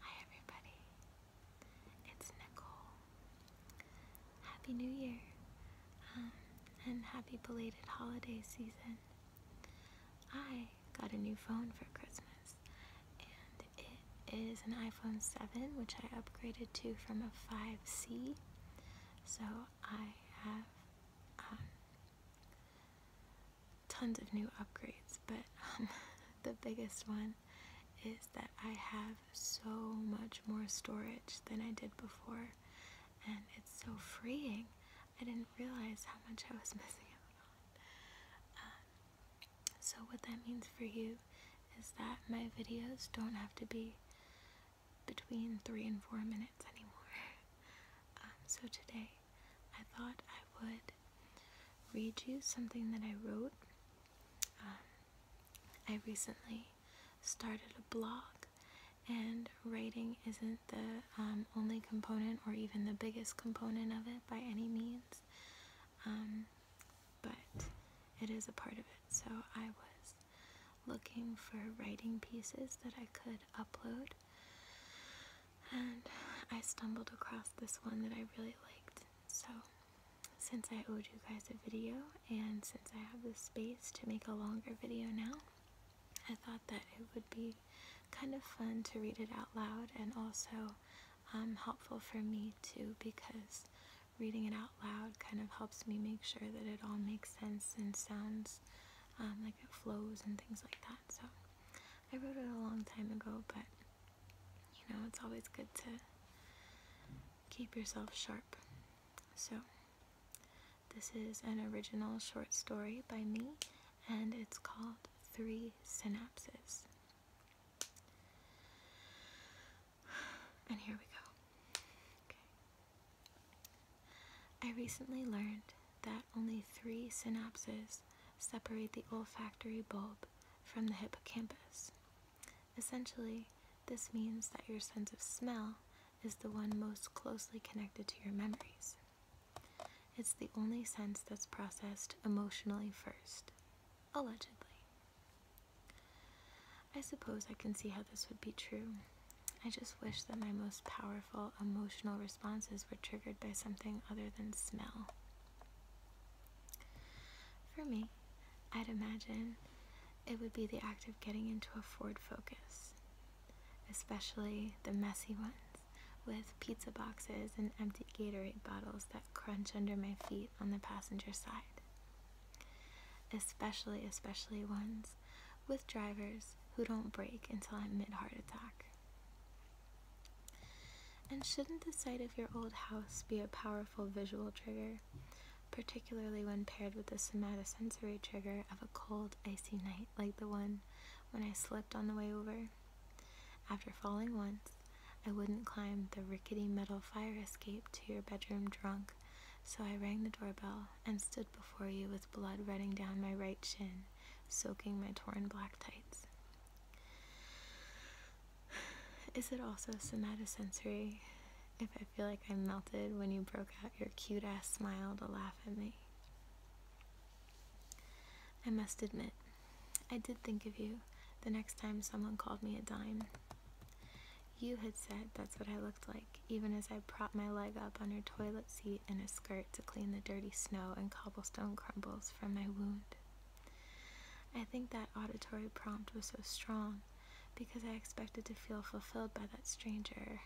Hi everybody, it's Nicole. Happy New Year um, and happy belated holiday season. I got a new phone for Christmas and it is an iPhone 7 which I upgraded to from a 5C. So I have um, tons of new upgrades, but um, the biggest one is that I have so much more storage than I did before, and it's so freeing. I didn't realize how much I was missing out um, so what that means for you is that my videos don't have to be between three and four minutes anymore. Um, so today I thought I would read you something that I wrote. Um, I recently started a blog, and writing isn't the um, only component or even the biggest component of it by any means, um, but it is a part of it. So I was looking for writing pieces that I could upload and I stumbled across this one that I really liked. So since I owed you guys a video and since I have the space to make a longer video now, I thought that it would be kind of fun to read it out loud and also um, helpful for me too because reading it out loud kind of helps me make sure that it all makes sense and sounds um, like it flows and things like that. So. I wrote it a long time ago, but you know, it's always good to keep yourself sharp. So, this is an original short story by me, and it's called Three Synapses. And here we go. Okay. I recently learned that only three synapses separate the olfactory bulb from the hippocampus. Essentially, this means that your sense of smell is the one most closely connected to your memories. It's the only sense that's processed emotionally first, allegedly. I suppose I can see how this would be true, I just wish that my most powerful emotional responses were triggered by something other than smell. For me, I'd imagine it would be the act of getting into a Ford Focus, especially the messy ones with pizza boxes and empty Gatorade bottles that crunch under my feet on the passenger side. Especially, especially ones with drivers who don't brake until I'm mid heart attack. And shouldn't the sight of your old house be a powerful visual trigger, particularly when paired with the somatosensory trigger of a cold, icy night like the one when I slipped on the way over? After falling once, I wouldn't climb the rickety metal fire escape to your bedroom drunk, so I rang the doorbell and stood before you with blood running down my right chin, soaking my torn black tights. Is it also somatosensory if I feel like I melted when you broke out your cute ass smile to laugh at me? I must admit, I did think of you the next time someone called me a dime. You had said that's what I looked like even as I propped my leg up on her toilet seat in a skirt to clean the dirty snow and cobblestone crumbles from my wound. I think that auditory prompt was so strong because I expected to feel fulfilled by that stranger,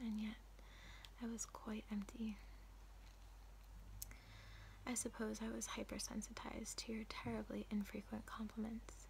and yet I was quite empty. I suppose I was hypersensitized to your terribly infrequent compliments.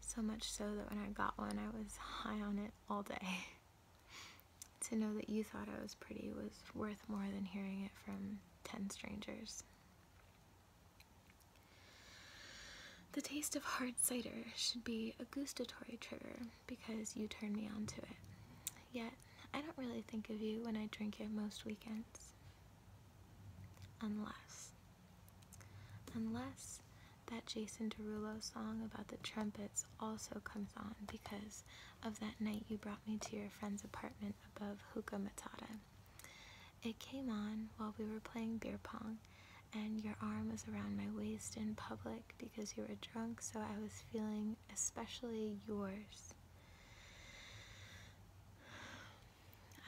So much so that when I got one, I was high on it all day. To know that you thought I was pretty was worth more than hearing it from ten strangers. The taste of hard cider should be a gustatory trigger because you turned me on to it. Yet, I don't really think of you when I drink it most weekends. Unless. Unless that Jason Derulo song about the trumpets also comes on because of that night you brought me to your friend's apartment above Hookah Matata. It came on while we were playing beer pong, and your arm was around my waist in public because you were drunk, so I was feeling especially yours.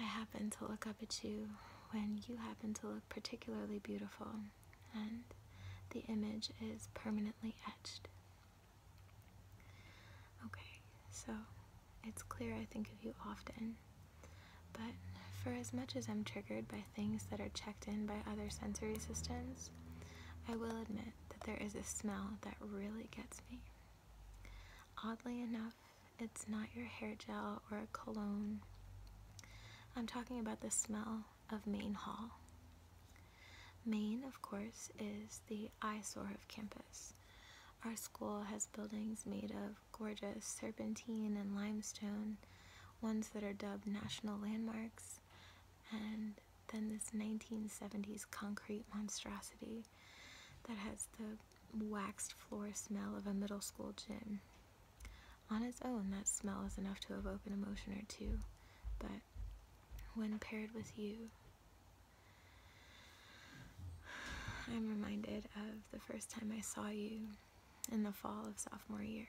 I happened to look up at you when you happened to look particularly beautiful and the image is permanently etched. Okay, so it's clear I think of you often, but for as much as I'm triggered by things that are checked in by other sensory systems, I will admit that there is a smell that really gets me. Oddly enough, it's not your hair gel or a cologne, I'm talking about the smell of Main Hall. Main, of course, is the eyesore of campus. Our school has buildings made of gorgeous serpentine and limestone, ones that are dubbed national landmarks, and then this 1970s concrete monstrosity that has the waxed floor smell of a middle school gym. On its own, that smell is enough to evoke an emotion or two, but when paired with you, I'm reminded of the first time I saw you in the fall of sophomore year.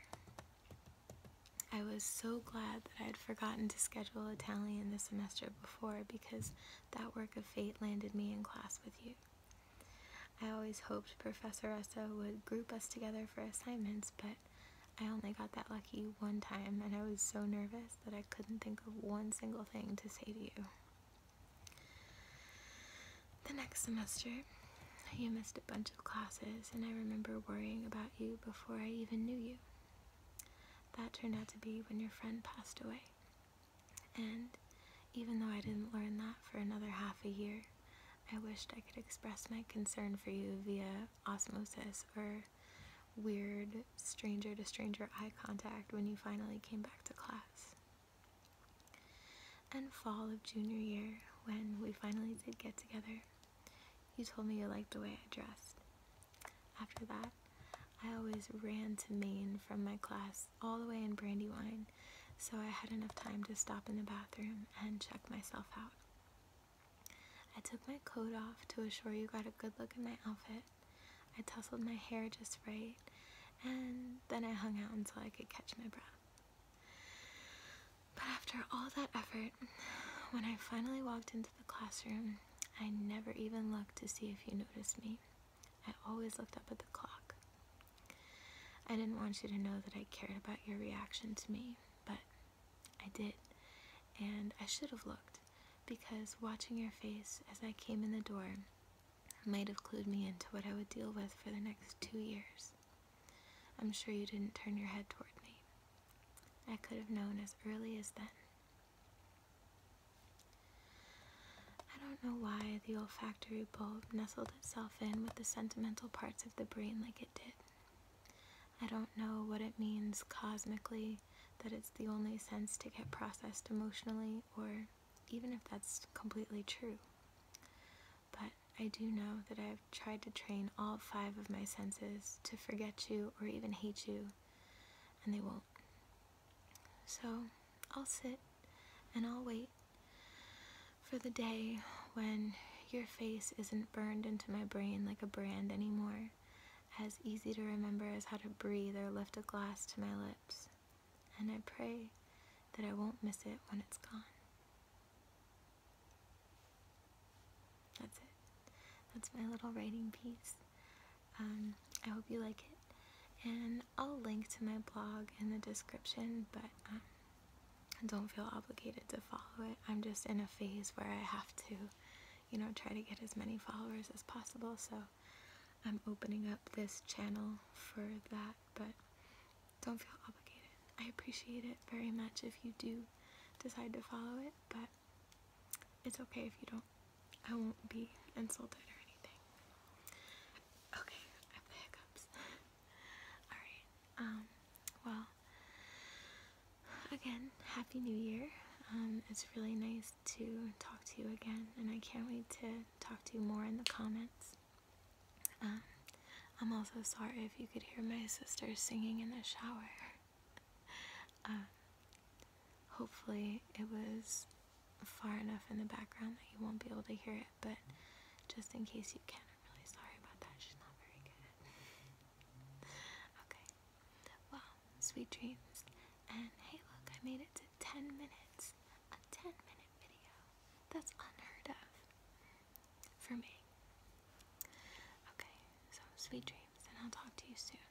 I was so glad that I had forgotten to schedule Italian the semester before because that work of fate landed me in class with you. I always hoped Professor Esso would group us together for assignments, but I only got that lucky one time, and I was so nervous that I couldn't think of one single thing to say to you. The next semester, you missed a bunch of classes, and I remember worrying about you before I even knew you. That turned out to be when your friend passed away, and even though I didn't learn that for another half a year, I wished I could express my concern for you via osmosis or weird stranger to stranger eye contact when you finally came back to class. And fall of junior year, when we finally did get together, you told me you liked the way I dressed. After that, I always ran to Maine from my class all the way in Brandywine, so I had enough time to stop in the bathroom and check myself out. I took my coat off to assure you got a good look at my outfit. I tousled my hair just right, and then I hung out until I could catch my breath. But after all that effort, when I finally walked into the classroom, I never even looked to see if you noticed me. I always looked up at the clock. I didn't want you to know that I cared about your reaction to me, but I did. And I should have looked, because watching your face as I came in the door might have clued me into what I would deal with for the next two years. I'm sure you didn't turn your head toward me. I could have known as early as then. I don't know why the olfactory bulb nestled itself in with the sentimental parts of the brain like it did. I don't know what it means cosmically that it's the only sense to get processed emotionally, or even if that's completely true. But I do know that I've tried to train all five of my senses to forget you or even hate you, and they won't. So I'll sit and I'll wait for the day when your face isn't burned into my brain like a brand anymore, as easy to remember as how to breathe or lift a glass to my lips. And I pray that I won't miss it when it's gone. That's it. That's my little writing piece. Um, I hope you like it. And I'll link to my blog in the description, but um, I don't feel obligated to follow it. I'm just in a phase where I have to, you know, try to get as many followers as possible, so I'm opening up this channel for that, but don't feel obligated. I appreciate it very much if you do decide to follow it, but it's okay if you don't. I won't be insulted or anything. Okay, I have hiccups. Alright, um, well, again, Happy New Year. Um, it's really nice to talk to you again, and I can't wait to talk to you more in the comments. Um, I'm also sorry if you could hear my sister singing in the shower. uh, hopefully, it was far enough in the background that you won't be able to hear it, but just in case you can, i really sorry about that. She's not very good. okay. Well, sweet dreams. And hey, look, I made it to 10 minutes. A 10 minute video. That's unheard of for me. Okay, so sweet dreams, and I'll talk to you soon.